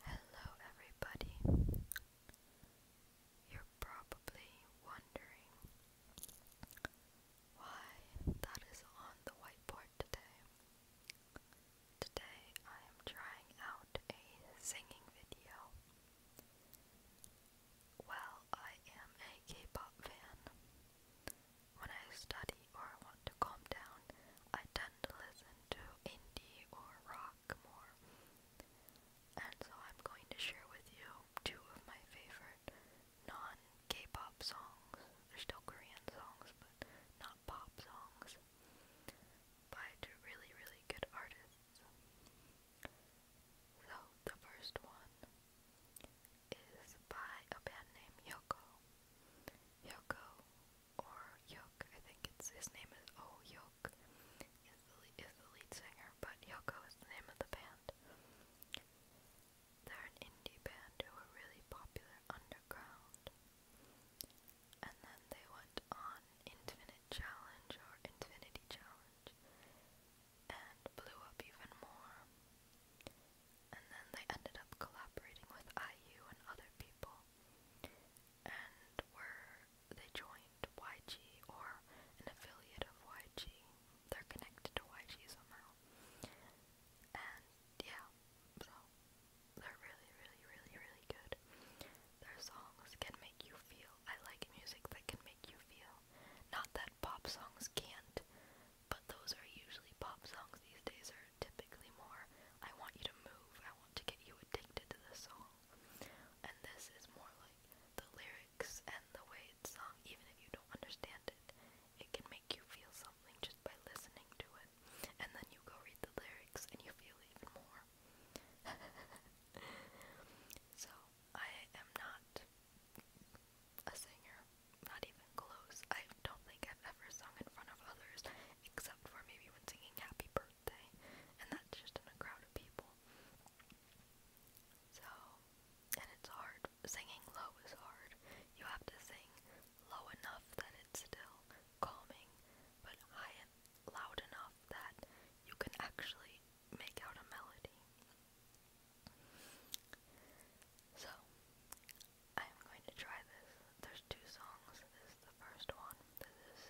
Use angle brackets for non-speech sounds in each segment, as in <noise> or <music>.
Hello, everybody. You're probably wondering why that is on the whiteboard today. Today I am trying out a singing video. Well, I am a K-pop fan. When I study or want to calm down, I tend to listen to indie or rock more. And so I'm going to share with you two of my favorite non-K-pop songs. They're still Korean songs, but not pop songs. By two really, really good artists. So the first one is by a band named Yoko. Yoko or Yoke, I think it's his name is O oh, Yoke is the lead, singer, but Yoko is the name of the band. They're an indie band who are really popular underground. And then they went on Infinite Challenge or Infinity Challenge that and blew up even more. And then they ended up collaborating with IU and other people and were they joined YG or an affiliate of YG. They're connected to YG somehow. And yeah, so they're really, really, really, really good. Their songs can make you feel. I like music that can make you feel. Not that pop songs can't, but those are usually pop songs these days are typically more I want you to move, I want to get you addicted to the song. And this is more like the lyrics and the way it's sung, even if you don't understand it, it can make you feel something just by listening to it. And then you go read the lyrics and you feel even more so I am not a singer, not even close. I don't think I've ever sung in front of others, except for maybe when singing Happy Birthday, and that's just in a crowd of people. So, and it's hard. Singing low is hard. You have to sing low enough that it's still calming, but high and loud enough that you can actually make out a melody. So, I'm going to try this. There's two songs. This is the first one. This is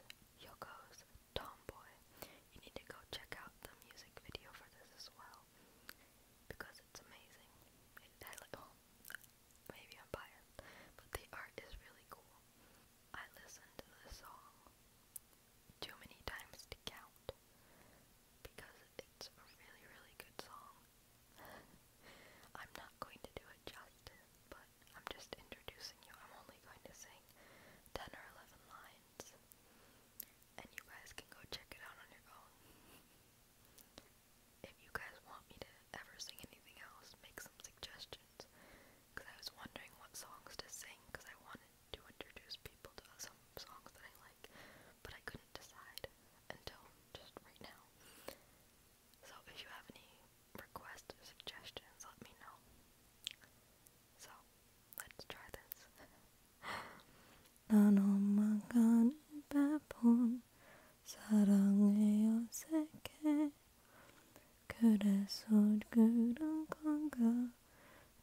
Yoko's Tomboy. You need to go check out the music video for this as well because it's amazing. Oh, maybe I'm biased, but the art is really cool. I listened to the song too many times to count because it's a really, really good song. <laughs> I'm not going to do it justice, but I'm just introducing you. I'm only going to sing 10 or 11 lines, and you guys can go check it out on your own. <laughs> If you guys want me to ever sing anything else, make some suggestions because I was wondering what songs to sing because I wanted to introduce people to some songs that I like, but I couldn't decide until just right now. So if you have any requests or suggestions, let me know. So let's try this. 나눠만 베푼 사랑의 어색해 그래서 그런 건가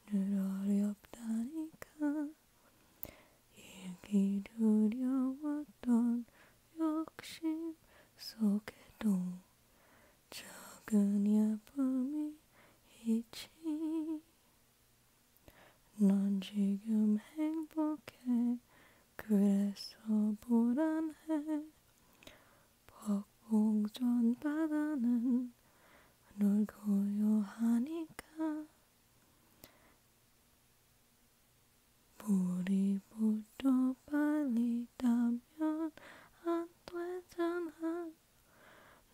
늘 어렵다니까 이기려웠던 욕심 속에도 작은 아픔이 있지 넌 지금 행복해 그래서 불안해 법봉전 바다는 널 고요하니까 물이 부터 빨리 타면 안 되잖아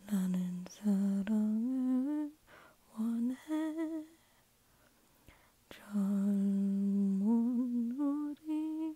나는 사랑을 원해 젊은 우리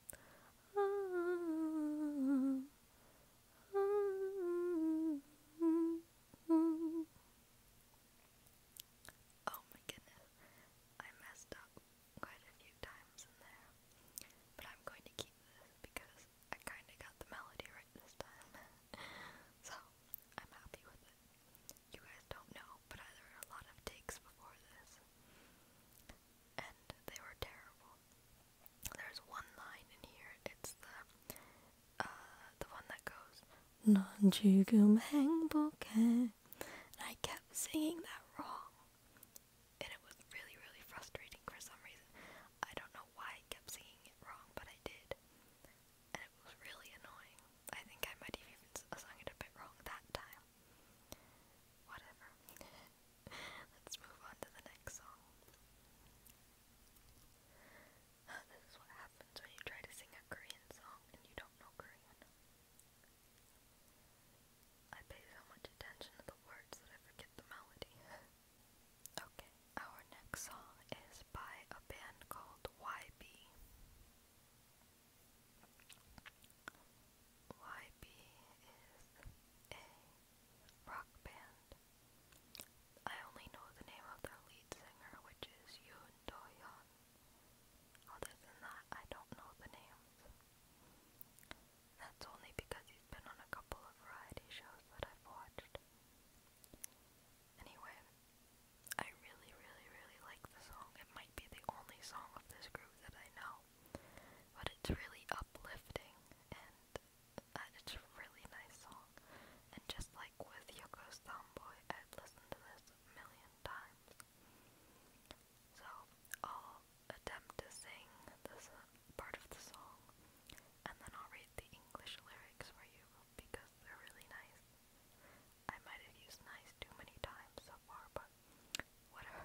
Oh my goodness, I messed up quite a few times in there, but I'm going to keep this because I kind of got the melody right this time, <laughs> so I'm happy with it. You guys don't know, but there were a lot of takes before this and they were terrible. There's one line in here. It's the uh the one that goes and I kept singing that wrong. And it was really, really frustrating for some reason. I don't know why I kept singing it wrong, but I did. And it was really annoying. I think I might have even sung it a bit wrong that time. Whatever. Let's move on to the next song. This is what happens when you try to sing a Korean song and you don't know Korean. I pay so much attention to the words that I forget the melody. <laughs> okay, our next song is by a band called YB. YB is a rock band. I only know the name of their lead singer, which is Yoon Do-yeon. Other than that, I don't know the names. That's only because he's been on a couple of variety shows that I've watched. Anyway, I really, really, really like the song. It might be the only song of this group that I know. But it's really uplifting and uh, it's a really nice song. And just like with Yoko's Tomboy, I've listened to this a million times. So I'll attempt to sing this uh, part of the song and then I'll read the English lyrics for you because they're really nice. I might have used nice too many times so far, but whatever.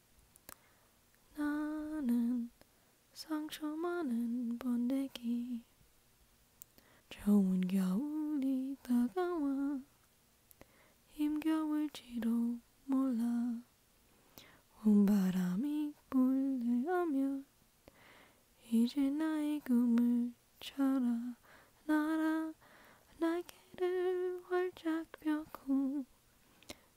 나는 상처 많은 번데기 좋은 겨울이 다가와 힘겨울지도 몰라 온 바람이 불려하면 이제 나의 꿈을 쳐라 나라 날개를 활짝 펴고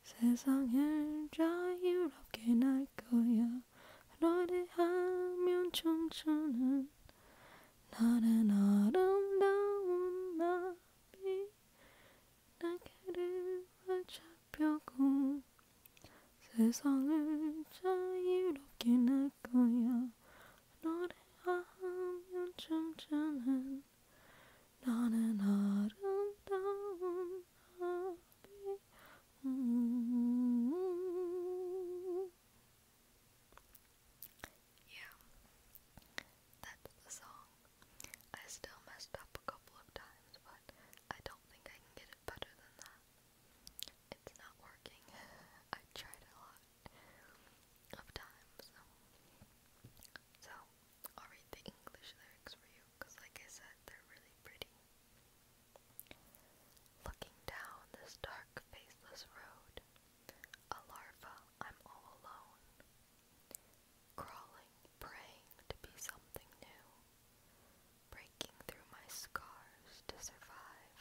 세상을 자유롭게 날 거야 노래하면 춤추는 나는 아름다운 나비 날개를 잡혀고 세상을 자유롭게 날 거야 노래하면 춤추는 na na na dum dum happy. Yeah, that's the song. I still messed up a couple of times, but I don't think I can get it better than that. It's not working. <laughs> I tried a lot of times. So, I'll read the English lyrics for you because, like I said, they're really pretty. Looking down this dark, faceless road, a larva, I'm all alone. Crawling, praying to be something new, breaking through my scars to survive.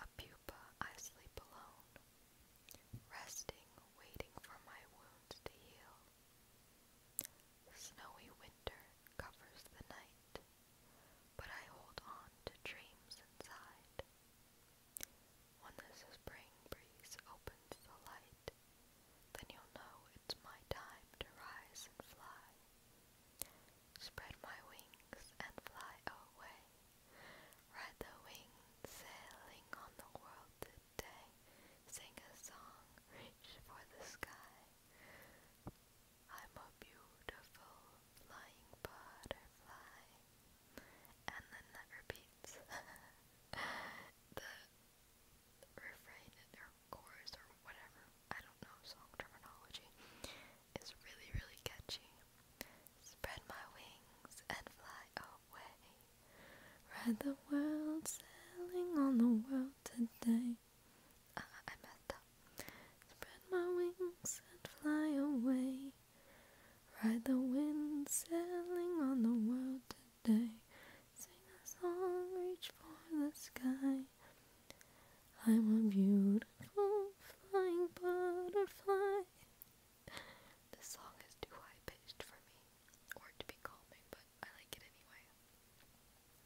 A pupa, I sleep alone resting, waiting for my wounds to heal. Snowy winter covers the night, but I hold on to dreams inside. When the spring breeze opens the light, then you'll know it's my time to rise and fly. Spread my wings and fly away. Ride the wings sailing on the world sing a song, reach for the sky. I'm a beautiful flying butterfly. And then that repeats. <laughs> the refrain or chorus or whatever, I don't know song terminology, is really, really catchy. Spread my wings and fly away. Ride the world sailing on the world today. Ah, I messed up. Spread my wings and fly away. Ride the wind sailing on the world today. Sing a song, reach for the sky. I'm a beautiful flying butterfly. This song is too high pitched for me, or to be calming, but I like it anyway.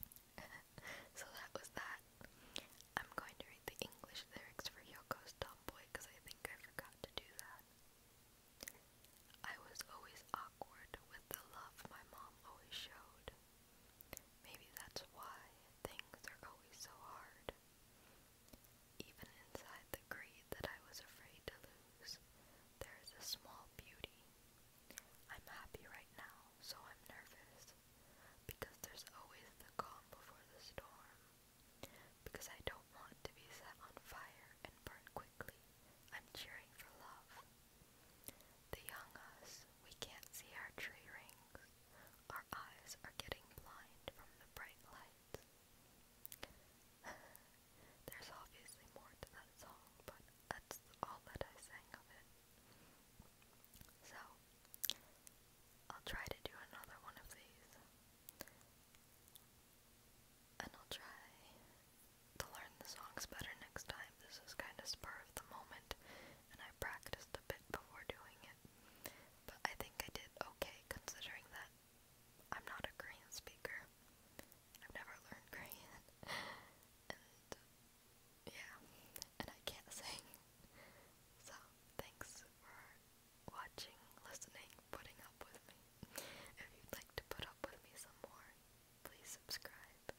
<laughs> so that was that. I'm going to read the English lyrics for Yoko's Tomboy because I think I forgot to do that. I was always awkward with the love my mom always showed. Maybe that's why things are always so hard. Even inside the greed that I was afraid to lose, there is a small beauty. I'm happy right now, so I'm nervous. Because there's always the calm before the storm. Because I don't want to be set on fire and burn quickly. I'm cheering for love. The young us, we can't see our tree rings. Our eyes are getting blind from the bright light. There's obviously more to that song, but that's all that I sang of it. So, I'll try to do another one of these. And I'll try to learn the songs better next time. This is kind of spur of the moment, and I practiced a bit before doing it. But I think I did okay considering that I'm not a Korean speaker. I've never learned Korean. <laughs> And yeah, and I can't sing. So, thanks for watching, listening, putting up with me. If you'd like to put up with me some more, please subscribe.